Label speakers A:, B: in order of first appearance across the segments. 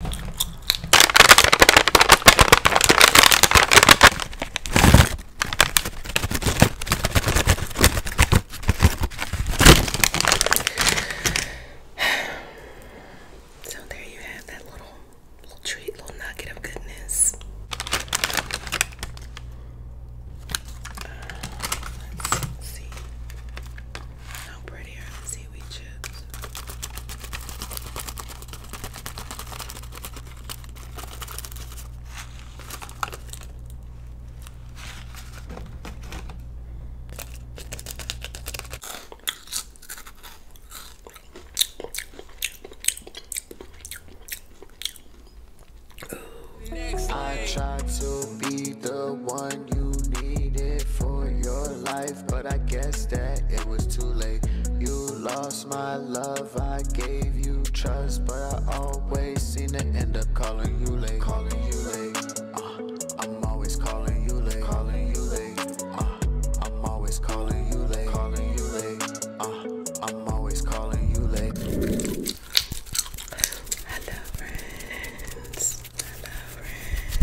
A: So there you have that little little treat, little nugget of goodness. Uh, let's see. How pretty seaweed chips? I try to be the one you needed for your life but I guess that it was too late. You lost my love, I gave you trust, but I always seem to end up calling you late. Calling you late. Uh, I'm always calling you late. Calling you late. Uh, I'm always calling you late. Uh, I'm always calling you late. Hello, Hello friends.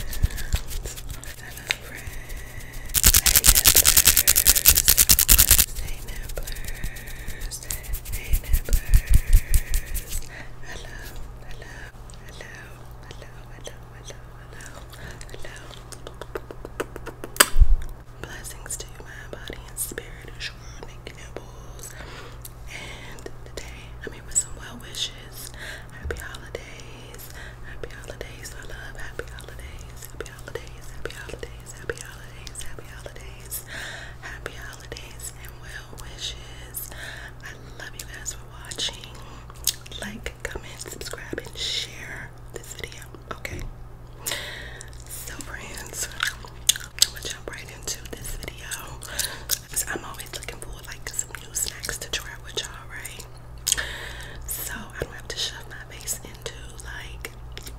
A: Hello friends. Hey nibblers. Hey nibblers. Hey nibblers. Hello. Hello. Hello. Hello. Hello. Hello. Hello. Hello. Blessings to my body and spirit. Sharon Nibbles. And today I'm here with some well wishes. Happy holidays. Happy holidays, I love. Happy holidays, happy holidays, happy holidays, happy holidays, happy holidays, happy holidays, and well wishes. I love you guys for watching. Like, comment, subscribe, and share this video. Okay. So, friends, I'm jump right into this video. i I'm always looking for like some new snacks to try with y'all, right? So I don't have to shove my face into like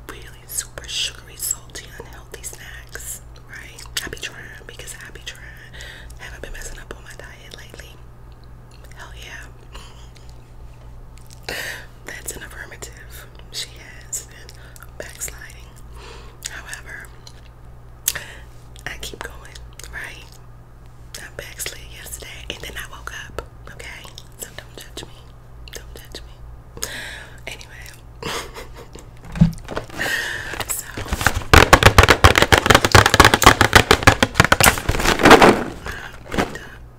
A: really super sugary, salty, unhealthy snacks, right? I be trying because I be trying. Haven't been messing up on my diet lately. Hell yeah. That's an affirmative. She has been backsliding. However, I keep going, right? I backslid yesterday and then I woke up, okay? So don't judge me. Don't judge me. Anyway. so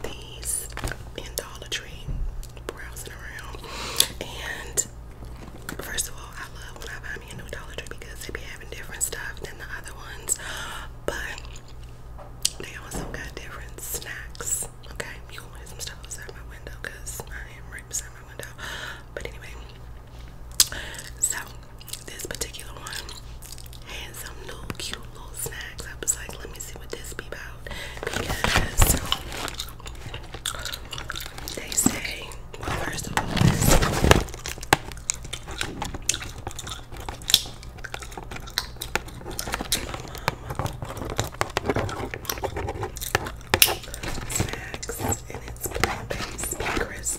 A: these in Dollar Tree browsing around and First of all, I love when I buy me a new Dollar Tree because they be having different stuff than the other ones. But they also got different snacks. Okay, you can hear some stuff outside my window because I am right beside my window. But anyway, so this particular one had some little cute little snacks. I was like, let me see what this be about because they say, Snacks and it's plant-based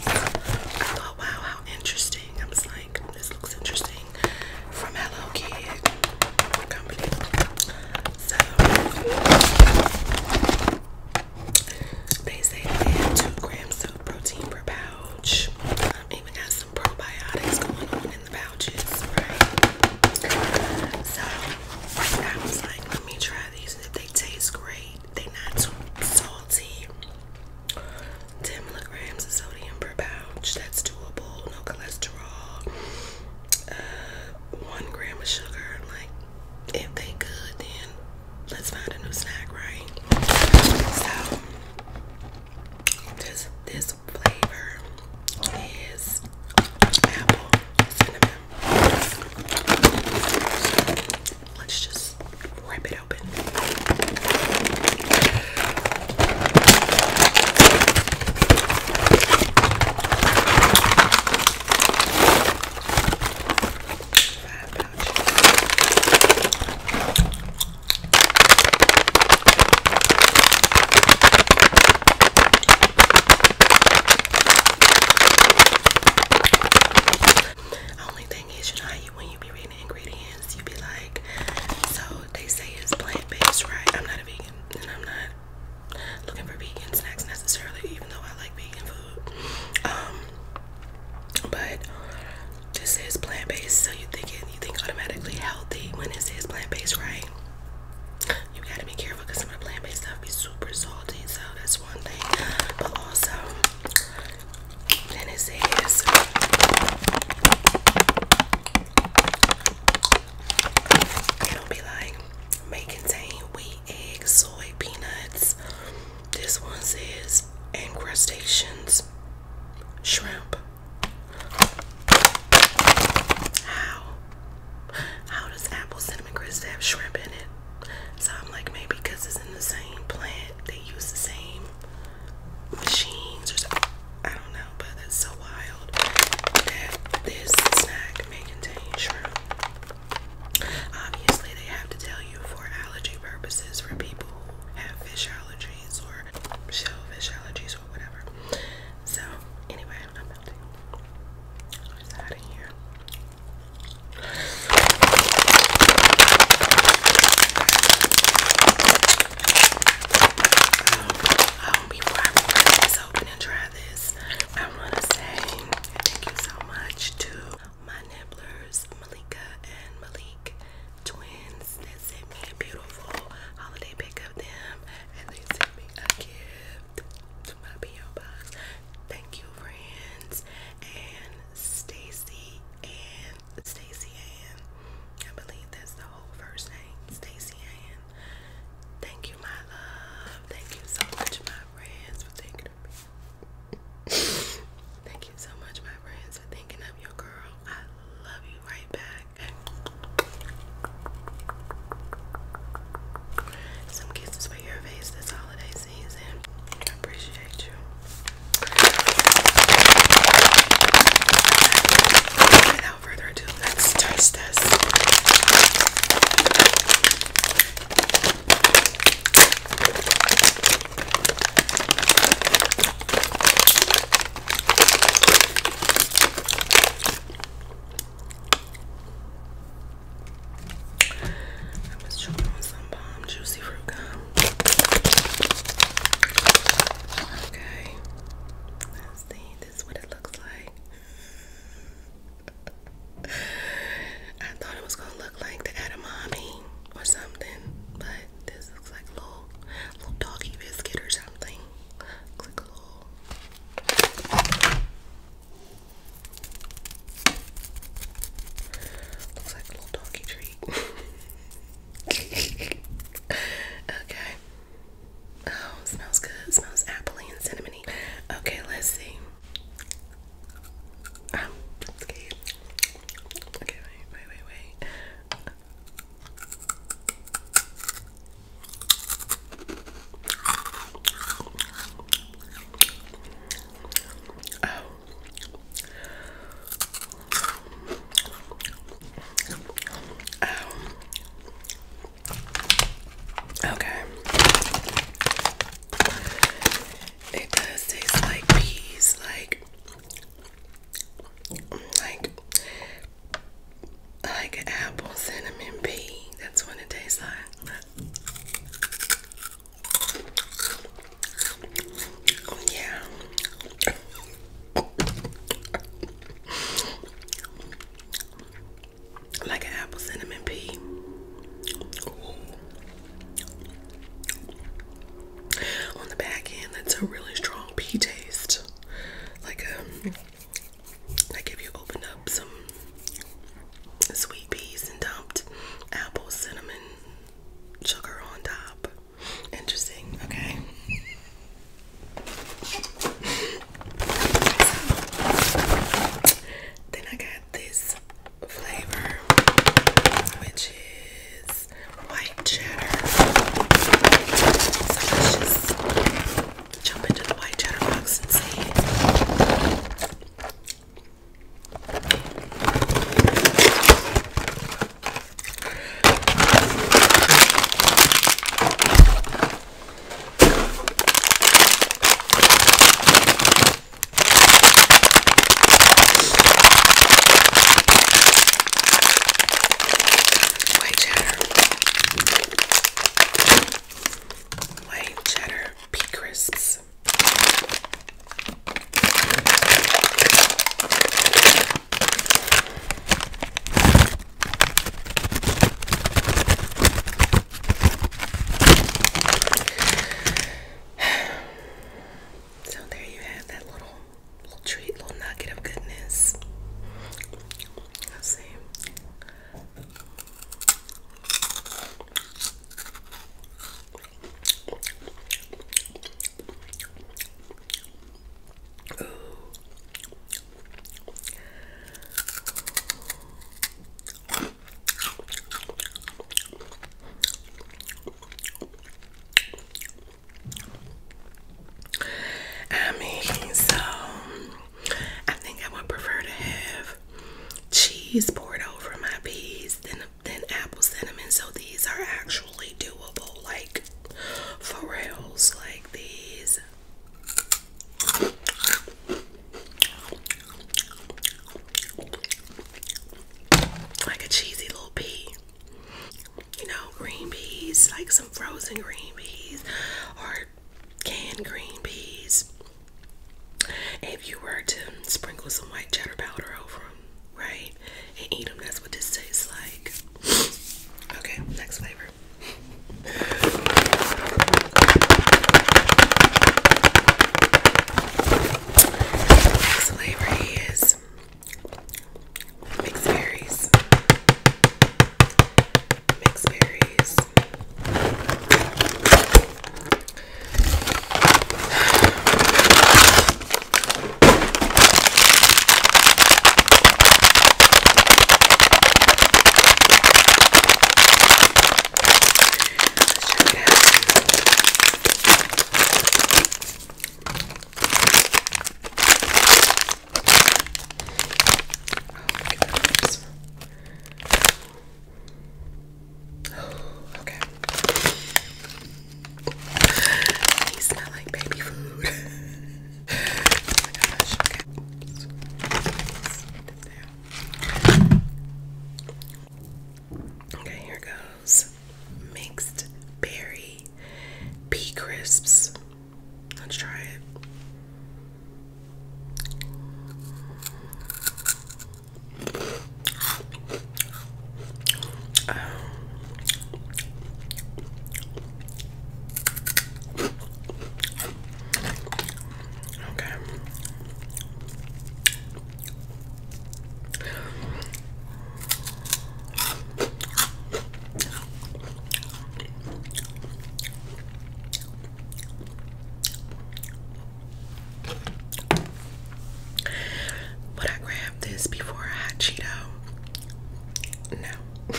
A: I thought, wow, how interesting. I was like, this looks interesting from Hello Kid Company. So they say they have two grams of protein per pound even got some probiotics going on in the pouches, right? So I was like, let me try these, if they taste great, they not too salty. 10 milligrams of sodium per pouch. That's doable. No cholesterol. Uh, one gram of sugar. Like, if they good, then let's find a new snack, right? So this this flavor is apple cinnamon. Let's just rip it open. Only thing is, you know, you, when you be reading the ingredients, you be like, so they say it's plant-based, right? I'm not a vegan, and I'm not looking for vegan snacks necessarily, even though I like vegan food. Um, but this is plant based, so you think it, you think automatically healthy when it says plant based, right? You gotta be careful because some of the plant based stuff be super salty, so that's one thing. But also, then it says. It'll be like may contain wheat, eggs, soy, peanuts, this one says encrustations shrimp. How? How does apple cinnamon crisp have shrimp in it? So I'm like maybe it's in the same plant, they use the same machines I don't know, but that's so wild that this snack may contain shrimp. Obviously, they have to tell you for allergy purposes for people have fish allergies or shellfish allergies or whatever. So anyway, I'm melting. What is that in here? Um, um I will this open and try this. I want to say thank you so much to my nibblers, Malika and Malik twins that sent me a beautiful holiday pic of them and they sent me a gift to my P.O. box. Thank you friends and Stacy and Stacy Ann. I believe that's the whole first name. Stacy Ann. Thank you my love. Thank you so much my friends for taking a Thank you so much, my friends, for thinking of your girl. I love you right back. Some kisses for your face this holiday season. I appreciate you. Without further ado, let's taste this. I was chewing on some bomb juicy fruit gum. Okay. see. This what it looks like. I thought it was gonna look like the Adamami or something, but this Looks like little, little doggy biscuit or something. Click a little. Looks like a little doggy treat. okay. Oh, smells good. smells appley and cinnamony. Okay, let's see. I'm Okay, wait, wait, wait, wait. Oh. Okay. It does taste like peas, like like like apple cinnamon pie. That's what it tastes like. Yeah. like apple cinnamon pea. On the back end, that's a really strong pea taste. Like um like you opened up some sweet peas and dumped apple cinnamon sugar on top. Interesting, okay. Then I got this flavor, which is white cheddar. So jump into the white cheddar box and see. White cheddar. White cheddar pea crisps. So there you have that little little treat, little nugget of goodness. let I mean, so I think I would prefer to have cheese poured over my peas than than apple cinnamon. So these are actually doable, like for reals, like these. Like a cheesy little pea you know, green peas, like some frozen green peas or canned green peas. If you were to sprinkle some white cheddar powder over them, right, and eat them, that's what this tastes like. Okay, next flavor. Next flavor is Mixed berries. Mixed berries. Oh, okay. He smell like baby food. Oh okay, here goes mixed berry pea crisps. Let's try it. Um, okay. Would I grab this before a hot Cheeto? No.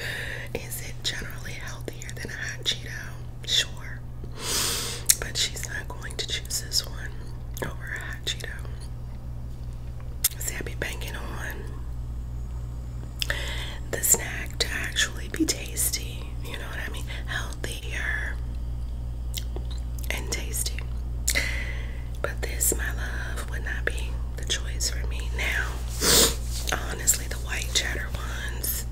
A: Is it generally healthier than a hot Cheeto? Sure. But she's not going to choose this one over Cheeto. See, banking on the snack to actually be tasty. You know what I mean? Healthier and tasty. But this, my love, would not be the choice for me now. Honestly, the white cheddar ones.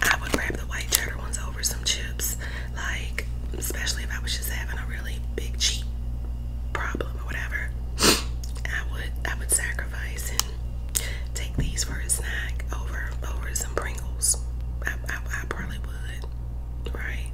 A: I would grab the white cheddar ones over some chips, like especially if I was just having a really big cheat problem or whatever. I would I would sacrifice and take these for a snack over over some Pringles. I, I, probably would, right?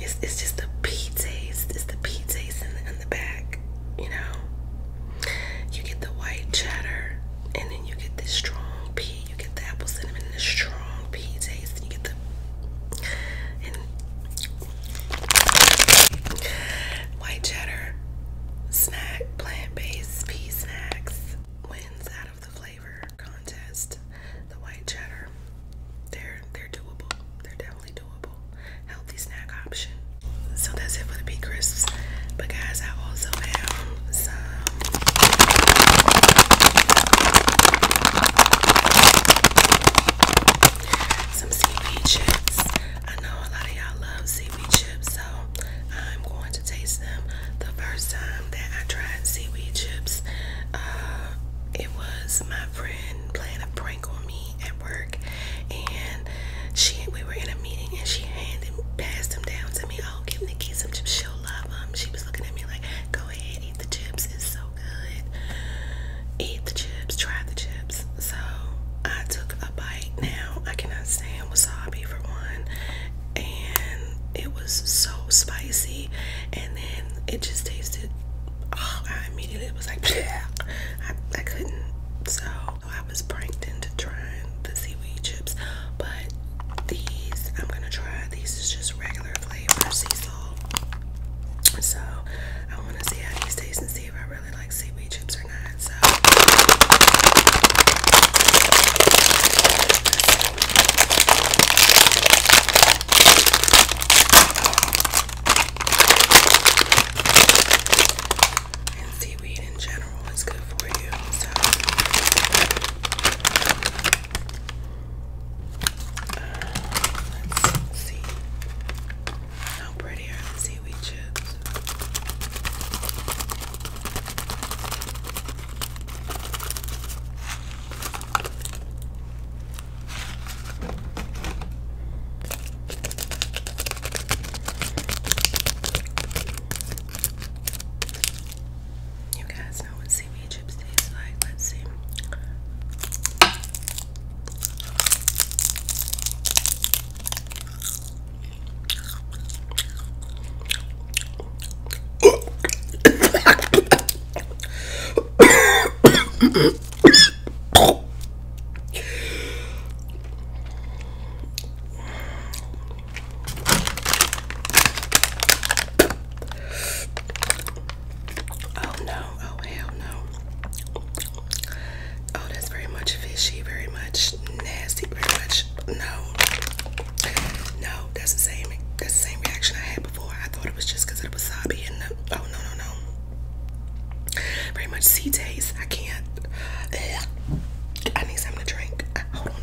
A: It's, it's just the pea taste. It's the pea in the, in back, you know. You get the white cheddar, and then you get this strong pea you get the apple cinnamon and the strong pea taste, and you get the white cheddar snack plant-based pea snacks wins out of the flavor contest. The white cheddar, they're they're doable. They're definitely doable. Healthy snack option. So that's it for the pea crisps. But guys, I also have some some seaweed chips. I know a lot of y'all love seaweed chips, so I'm going to taste them. The first time that I tried seaweed chips, uh, it was my friend playing a prank on me at work, and she we were in a meeting and she handed passed them down to me. Oh, give Nikki some chips. Sure. She was looking at me like, go ahead, eat the chips. It's so good. Eat the chips, try the chips. So I took a bite. Now I cannot stand wasabi for one. And it was so spicy. And then it just tasted, oh, I immediately was like, I, I couldn't. So I was pranked into trying the seaweed chips, but these I'm gonna try. These is just regular flavor sea salt. So I wanna see how these taste and see if I really like seaweed chips or not. So seaweed in general general you. Uh, let's see. How pretty the seaweed chips? You guys know what seaweed chips taste like. Let's see. Oh no, oh hell no. Oh, that's very much fishy, very much nasty, very much no. No, that's the same that's same reaction I had before. I thought it was just of the wasabi and the oh no no no. Very much sea taste. I can't. Ugh. I need something to drink. Hold on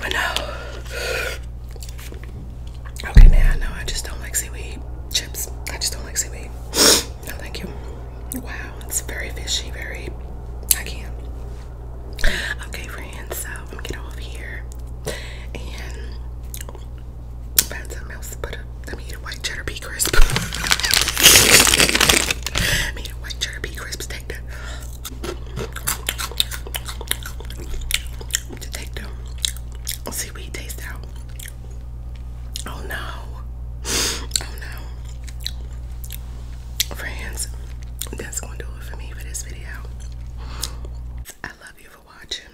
A: I know. Okay, now I I just don't like seaweed chips. I just don't like seaweed. No, thank you. Wow, it's very fishy. Very. I can't. Okay, friends. So I'm gonna get off here and find something else to Let me eat a white cheddar pea crisp. Let me eat a white cheddar pea crisp take the to take the seaweed taste out. Oh no. Oh no. Friends, that's gonna do it for me for this video. I love you for watching.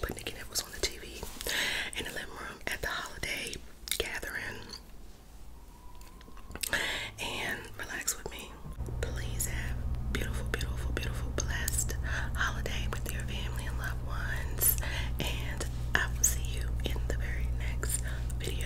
A: But Nikki Nip was on the TV in the living room at the holiday gathering and relax with me. Please have beautiful, beautiful, beautiful, blessed holiday with your family and loved ones. And I will see you in the very next video.